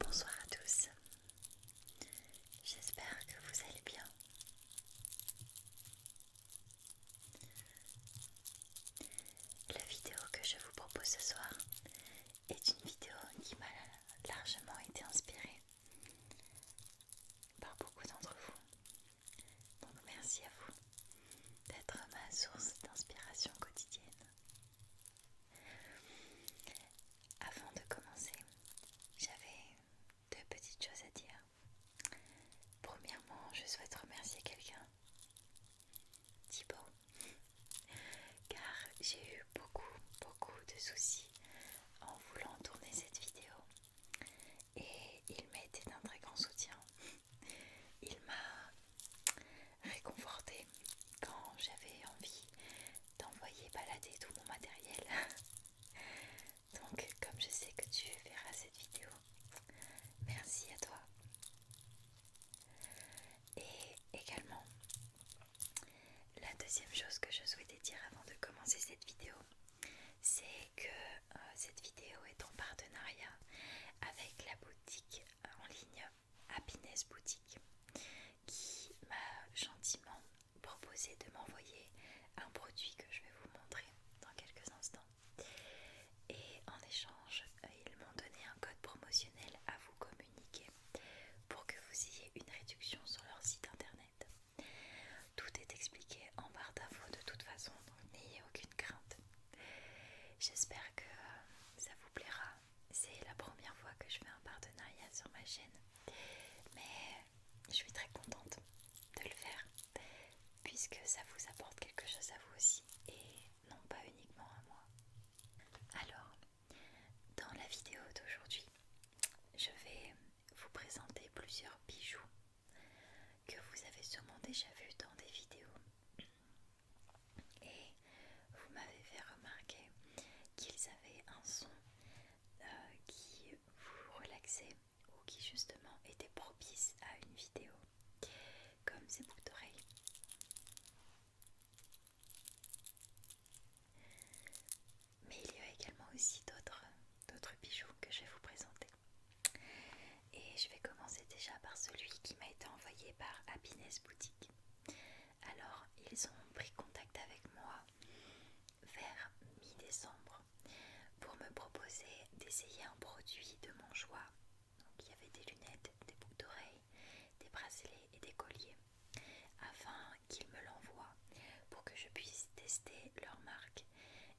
Bonsoir à tous, j'espère que vous allez bien. La vidéo que je vous propose ce soir est une vidéo qui m'a largement été inspirée par beaucoup d'entre vous. Donc merci à vous d'être ma source d'inspiration quotidienne. Avant de commencer, j'avais deux petites choses à dire. Premièrement, je souhaite remercier quelqu'un, Thibaut, car j'ai eu beaucoup, beaucoup de soucis en voulant tourner cette vidéo et il m'a été d'un très grand soutien. Il m'a réconforté quand j'avais envie d'envoyer balader tout mon matériel. Donc comme je sais que tu verras cette vidéo, merci à toi. Et également, la deuxième chose que je souhaitais dire avant de commencer cette vidéo, c'est que euh, cette vidéo est en partenariat avec la boutique euh, en ligne Happiness Boutique qui m'a gentiment proposé de m'envoyer un produit que je vais vous montrer dans quelques instants. Et en échange, euh, ils m'ont donné un code promotionnel à vous communiquer pour que vous ayez une réduction sur leur site internet. Tout est expliqué en barre d'infos de toute façon, donc n'ayez aucune crainte. J'espère que ça vous plaira. C'est la première fois que je fais un partenariat sur ma chaîne, mais je suis très contente de le faire puisque ça vous apporte quelque chose à vous aussi et non pas uniquement à moi. Alors, dans la vidéo d'aujourd'hui, je vais vous présenter plusieurs bijoux que vous avez sûrement déjà vu dans des vidéos. Et vous m'avez fait remarquer qu'ils avaient un son euh, qui vous relaxait ou qui justement était propice à une vidéo, comme ces boucles d'oreilles. Mais il y a également aussi d'autres bijoux que je vais vous présenter. Et je vais commencer déjà par celui qui m'a été envoyé par Happiness Boutique. Alors, ils ont pris contact avec moi vers mi-décembre pour me proposer d'essayer un produit de mon choix. Donc, il y avait des lunettes, des boucles d'oreilles, des bracelets et des colliers afin qu'ils me l'envoient pour que je puisse tester leur marque.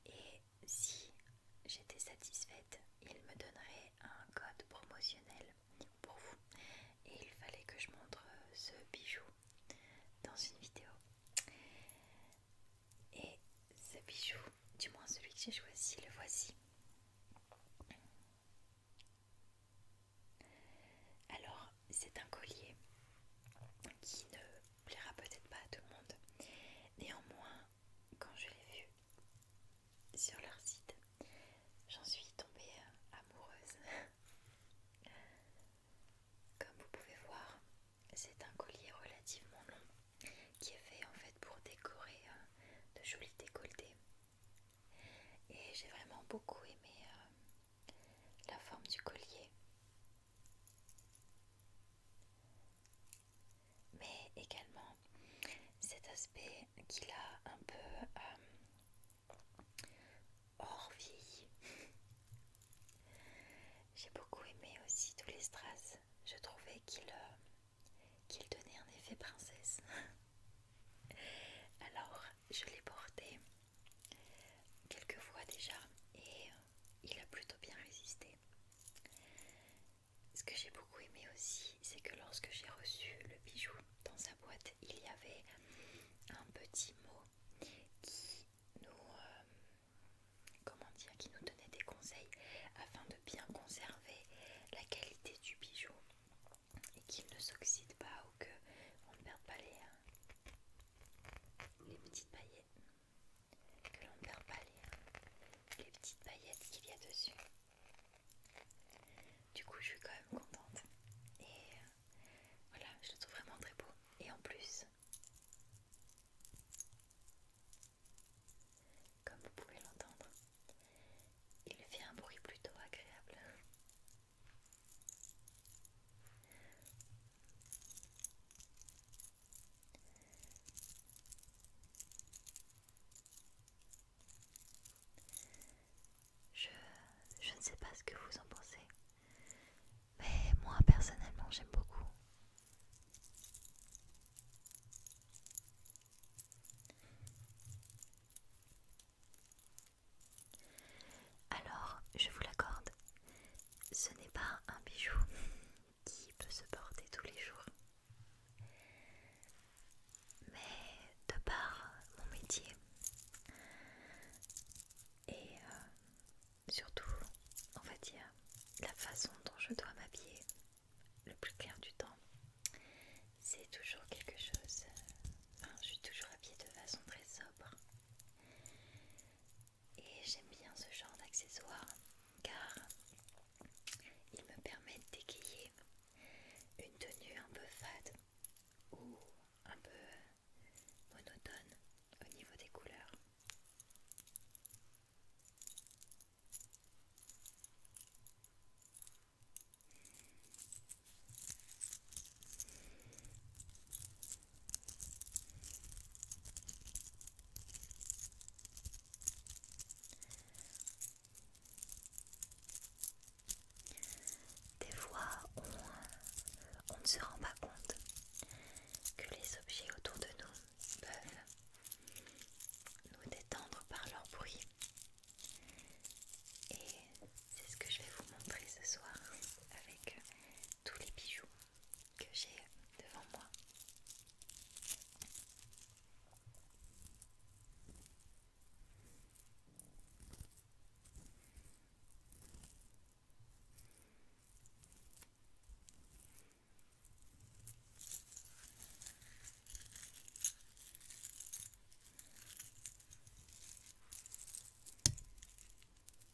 Et si j'étais satisfaite, ils me donneraient un code promotionnel pour vous. Et il fallait que je montre euh, ce bijou dans une vidéo. Et ce bijou, du moins celui que j'ai choisi, le voici. Alors, c'est un collier qui ne plaira peut-être pas à tout le monde. Néanmoins, quand je l'ai vu sur leur site, j'en suis tombée euh, amoureuse. Comme vous pouvez voir, c'est un collier relativement long qui est fait en fait pour décorer euh, de jolis décolletés. Et j'ai vraiment beaucoup aimé euh, la forme du collier, mais également cet aspect qu'il a un peu euh, hors vie J'ai beaucoup aimé aussi tous les strass, je trouvais qu'il euh, qu'il donnait un effet princesse. Alors je l'ai porté quelques fois déjà et euh, il a plutôt bien résisté. Ce que j'ai beaucoup aimé aussi, c'est que lorsque j'ai reçu le bijou dans sa boîte, il y avait un petit mot qui nous, euh, comment dire, qui nous donnait des conseils afin de bien conserver la qualité du bijou et qu'il ne s'oxyde pas ou qu'on ne perde pas les, euh, les petites paillettes que l'on ne perd pas les, les petites paillettes qu'il y a dessus du coup je suis quand même contente et euh, voilà je le trouve vraiment très beau et en plus comme vous pouvez l'entendre il fait un bruit plutôt agréable je, je ne sais pas ce que vous en pensez, mais moi personnellement j'aime beaucoup. Alors, je vous l'accorde, ce n'est pas un bijou qui peut se porter tous les jours. Mais de par mon métier et euh, surtout, on va dire, la façon dont je dois m'habiller le plus clair du temps, c'est toujours quelque chose... Enfin, je suis toujours habillée de façon très sobre. Et j'aime bien ce genre d'accessoires car ils me permettent d'équiper une tenue un peu fade ou un peu monotone au niveau des couleurs. Des fois, on, on ne se rend pas compte que les objets autour de nous peuvent nous détendre par leur bruit et c'est ce que je vais vous montrer ce soir avec euh, tous les bijoux que j'ai devant moi.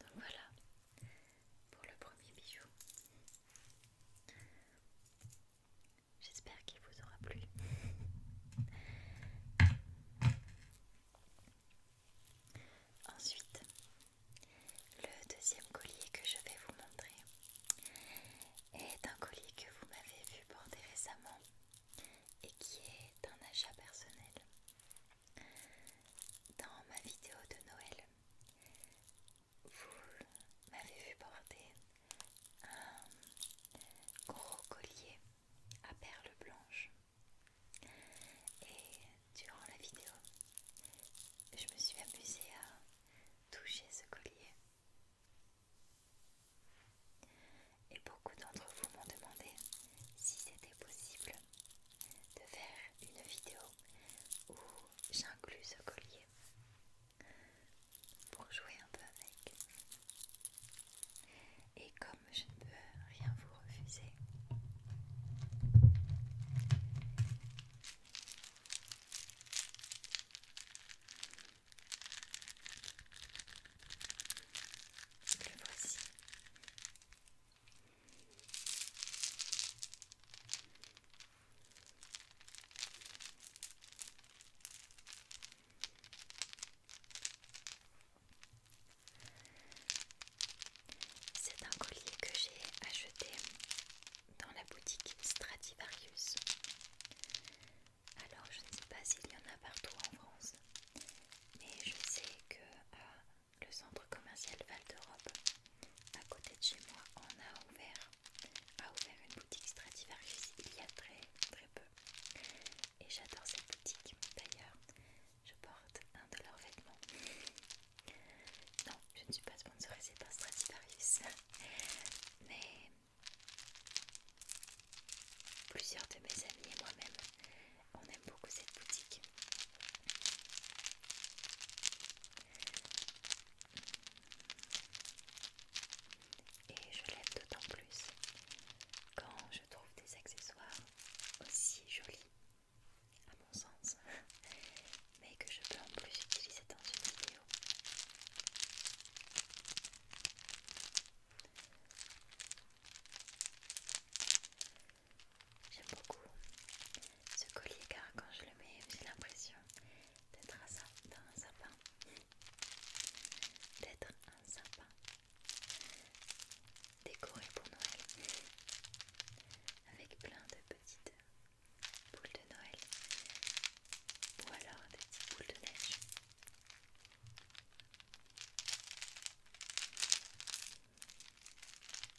Donc voilà pour le premier bijou. J'espère qu'il vous aura plu. Ensuite, le deuxième collier que je vais vous montrer est un collier que vous m'avez vu porter récemment et qui est un achat personnel. Dans ma vidéo de Noël, vous m'avez vu porter un gros collier à perles blanches. Et durant la vidéo, je me suis amusée à toucher ce collier. Et beaucoup d'entre vous m'ont demandé si c'était possible de faire une vidéo où j'inclus ce collier pour jouer un peu avec. Et comme je ne peux rien vous refuser, le voici c'est un collier que j'ai acheté dans la boutique Stradivarius. Alors je ne sais pas s'il y en a partout en France, mais je sais que euh, le centre commercial Val d'Europe, à côté de chez moi, on a ouvert, a ouvert une boutique Stradivarius il y a très très peu. Et j'adore cette boutique. D'ailleurs, je porte un de leurs vêtements. Non, je ne suis pas sponsorisée par Stradivarius, mais plusieurs de mes amis et moi-même on aime beaucoup cette boutique. Et je l'aime d'autant plus quand je trouve des accessoires aussi jolis, à mon sens, mais que je peux en plus utiliser dans une vidéo. J'aime beaucoup ce collier car quand je le mets, j'ai l'impression d'être un sapin. D'être un sapin décoré pour Noël avec plein de petites boules de Noël ou alors des petites boules de neige.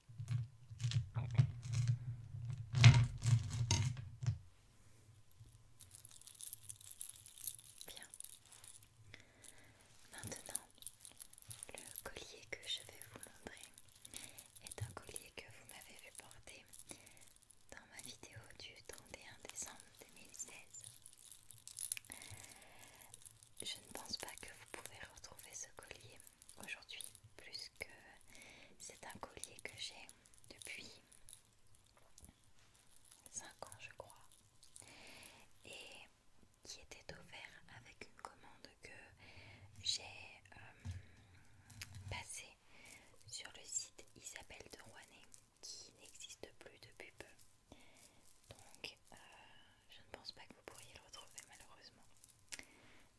Bien. Maintenant, le collier que je vais vous montrer est un collier que vous m'avez vu porter dans ma vidéo du 31 décembre 2016. Je ne pense pas que vous pouvez retrouver ce collier aujourd'hui plus que c'est un collier que j'ai depuis 5 ans je crois et qui était offert avec une commande que j'ai euh, passée sur le site Isabelle de Rouanet qui n'existe plus depuis peu donc euh, je ne pense pas que vous pourriez le retrouver malheureusement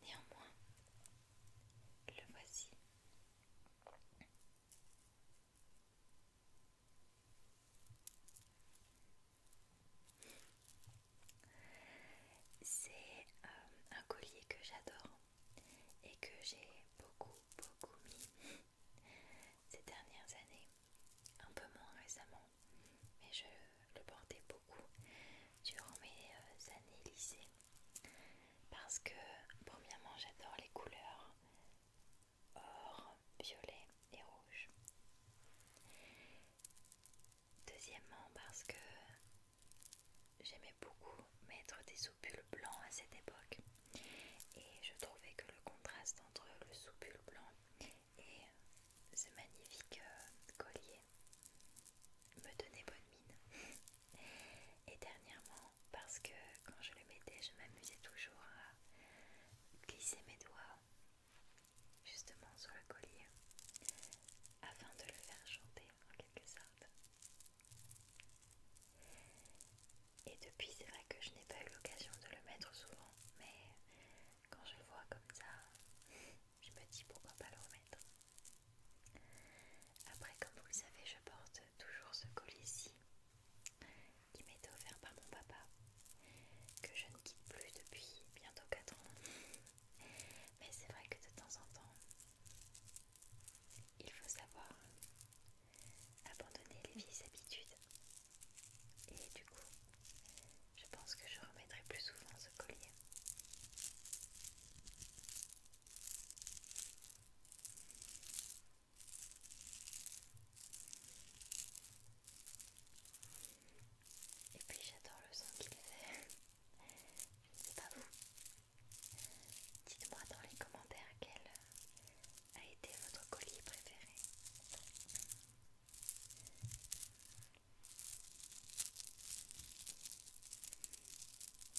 néanmoins le voici. C'est euh, un collier que j'adore et que j'ai beaucoup beaucoup mis ces dernières années, un peu moins récemment, mais je le portais beaucoup durant mes euh, années lycée. Parce que, premièrement, j'adore les couleurs or, violet et rouge. Deuxièmement, parce que j'aimais beaucoup mettre des soupules blancs à cette époque. Et je trouvais que le contraste entre le soupule blanc et ce magnifique euh, collier me donner bonne mine. Et dernièrement, parce que quand je le mettais, je m'amusais toujours à glisser mes doigts justement sur le collier afin de le faire chanter en quelque sorte. Et depuis, c'est vrai que je n'ai pas eu l'occasion de le mettre souvent, mais quand je le vois comme ça, je me dis pourquoi pas le remettre. Après, comme vous le savez, je porte toujours ce collier-ci qui m'était offert par mon papa, que je ne quitte plus depuis bientôt 4 ans. Mais c'est vrai que de temps en temps, il faut savoir abandonner les vieilles habitudes. Et du coup, je pense que je remettrai plus souvent ce collier. Et puis j'adore le son qu'il fait. Je ne sais pas vous. Dites-moi dans les commentaires quel euh, a été votre colis préféré.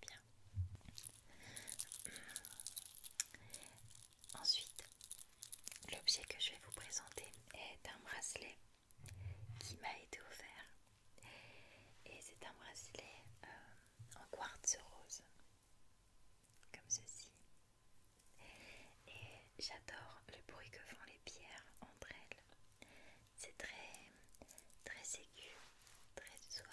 Bien. Ensuite, l'objet que je vais vous présenter est un bracelet qui m'a été offert. Et c'est un bracelet euh, en quartz rose comme ceci. Et j'adore le bruit que font les pierres entre elles. C'est très, très aigu, très suave.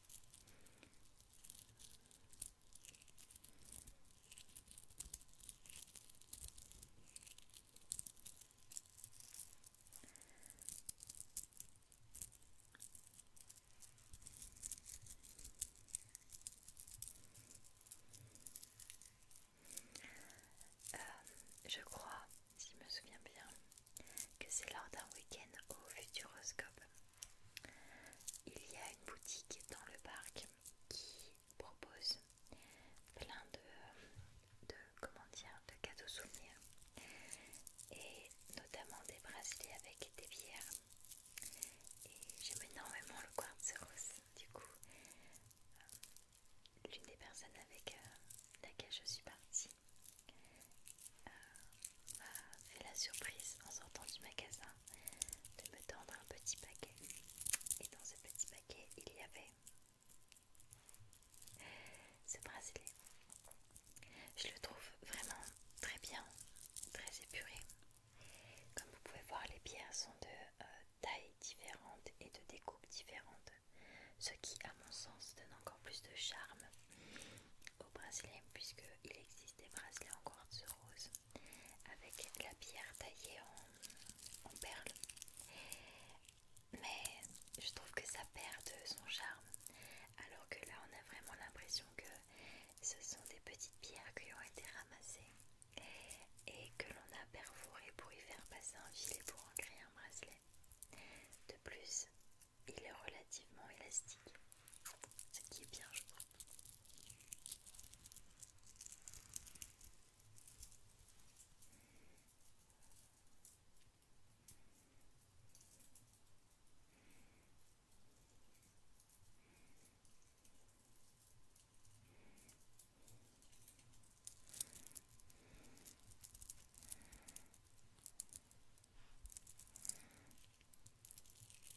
Euh, je crois, si je me souviens bien, que c'est lors d'un week-end au Futuroscope il y a une boutique dans le parc qui propose plein de, comment dire, de cadeaux souvenirs et notamment des bracelets avec des bières. Et j'aime énormément le quartz rose. Du coup, euh, l'une des personnes avec euh, laquelle je suis partie euh, A fait la surprise en sortant du magasin de me tendre un petit paquet. Et dans ce petit paquet, il y avait ce bracelet. Je le trouve vraiment très bien, très épuré. Comme vous pouvez voir, les pierres sont de euh, tailles différentes et de découpes différentes. Ce qui, à mon sens, donne encore plus de charme au bracelet puisqu'il existe des bracelets en quartz rose avec la pierre taillée en, perles mais je trouve que ça perd de son charme alors que là on a vraiment l'impression que ce sont des petites pierres qui ont été ramassées et que l'on a perforé pour y faire passer un filet pour en créer un bracelet. De plus, il est relativement élastique c'est qui est bien, je crois.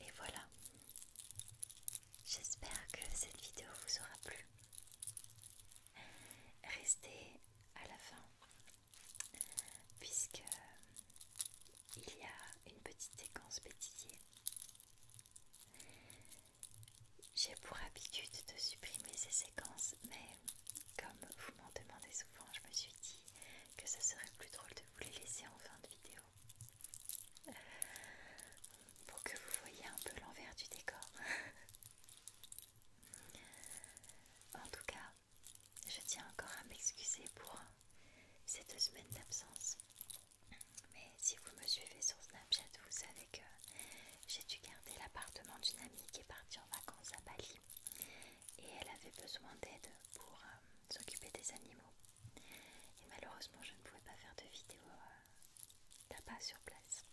Et voilà. J'espère que cette vidéo vous aura plu. Restez à la fin puisque il y a une petite séquence bêtisier. J'ai pour habitude de supprimer ces séquences, mais comme vous m'en demandez souvent, je me suis dit que ça serait plus drôle de vous les laisser en fin de vidéo euh, pour que vous voyez un peu l'envers du décor. en tout cas, je tiens encore à m'excuser pour cette semaine d'absence. Mais si vous me suivez sur Snapchat, vous savez que j'ai dû garder l'appartement d'une amie qui est partie en vacances à Bali et elle avait besoin d'aide pour euh, s'occuper des animaux. Et malheureusement, je ne pouvais pas faire de vidéo euh, là-bas sur place.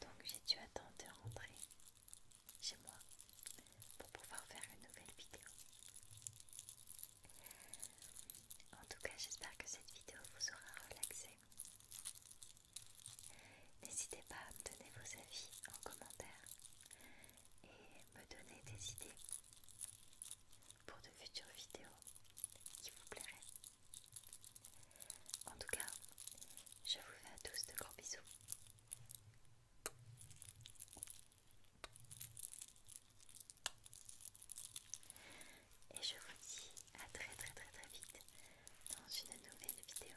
Donc j'ai dû attendre de rentrer chez moi pour pouvoir faire une nouvelle vidéo. En tout cas, j'espère que cette vidéo vous aura relaxé. N'hésitez pas à me donner vos avis en commentaire et me donner des idées pour de futures vidéos qui vous plairaient. En tout cas, je vous fais à tous de gros bisous. Et je vous dis à très très très très vite dans une nouvelle vidéo.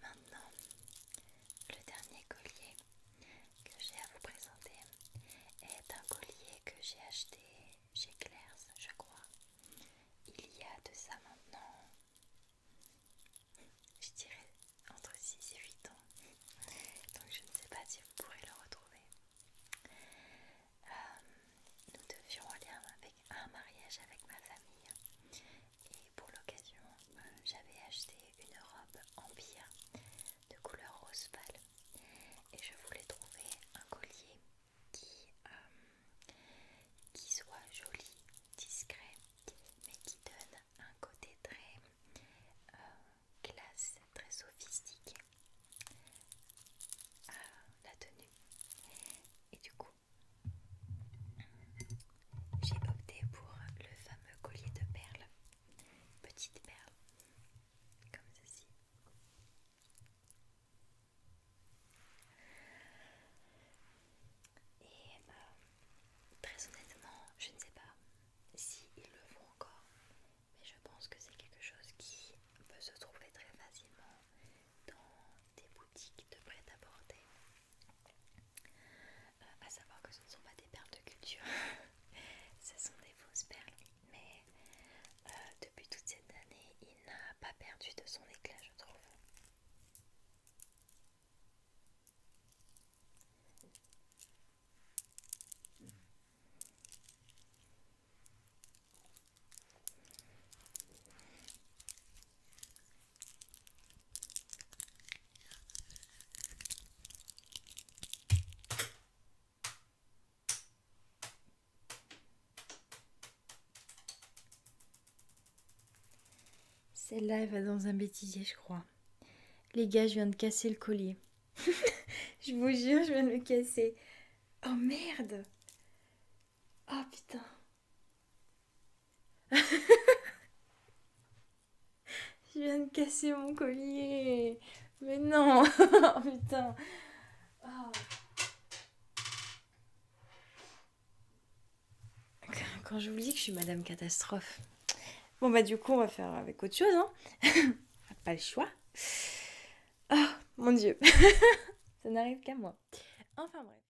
Maintenant, le dernier collier que j'ai à vous présenter est un collier que j'ai acheté chez Claire's, je crois, il y a de ça maintenant, je dirais entre 6 et 8 ans, donc je ne sais pas si vous pourrez le retrouver. Euh, nous devions aller avec un mariage avec ma famille et pour l'occasion euh, j'avais acheté une robe empire de couleur rose pâle et je voulais trouver un collier qui, euh, qui soit joli, discret mais qui donne un côté très euh, classe, très sophistiqué à la tenue et du coup j'ai opté pour le fameux collier de perles, petites perles, comme ceci. Et bah, très honnêtement, je ne sais pas s'ils le font encore, mais je pense que c'est quelque chose qui peut se trouver très facilement dans des boutiques de prêt-à-porter. A euh, à savoir que ce ne sont pas des perles de culture, ce sont des fausses perles, mais euh, depuis toute cette année, il n'a pas perdu de son éclat, je trouve. Celle-là, elle va dans un bêtisier, je crois. Les gars, je viens de casser le collier. je vous jure, je viens de le casser. Oh merde Oh putain Je viens de casser mon collier. Mais non. oh, putain. Ah. je Quand dis que je suis Madame Catastrophe. Bon bah du coup on va faire avec autre chose. Hein. Pas le choix. Oh mon dieu. Ça n'arrive qu'à moi. Enfin bref.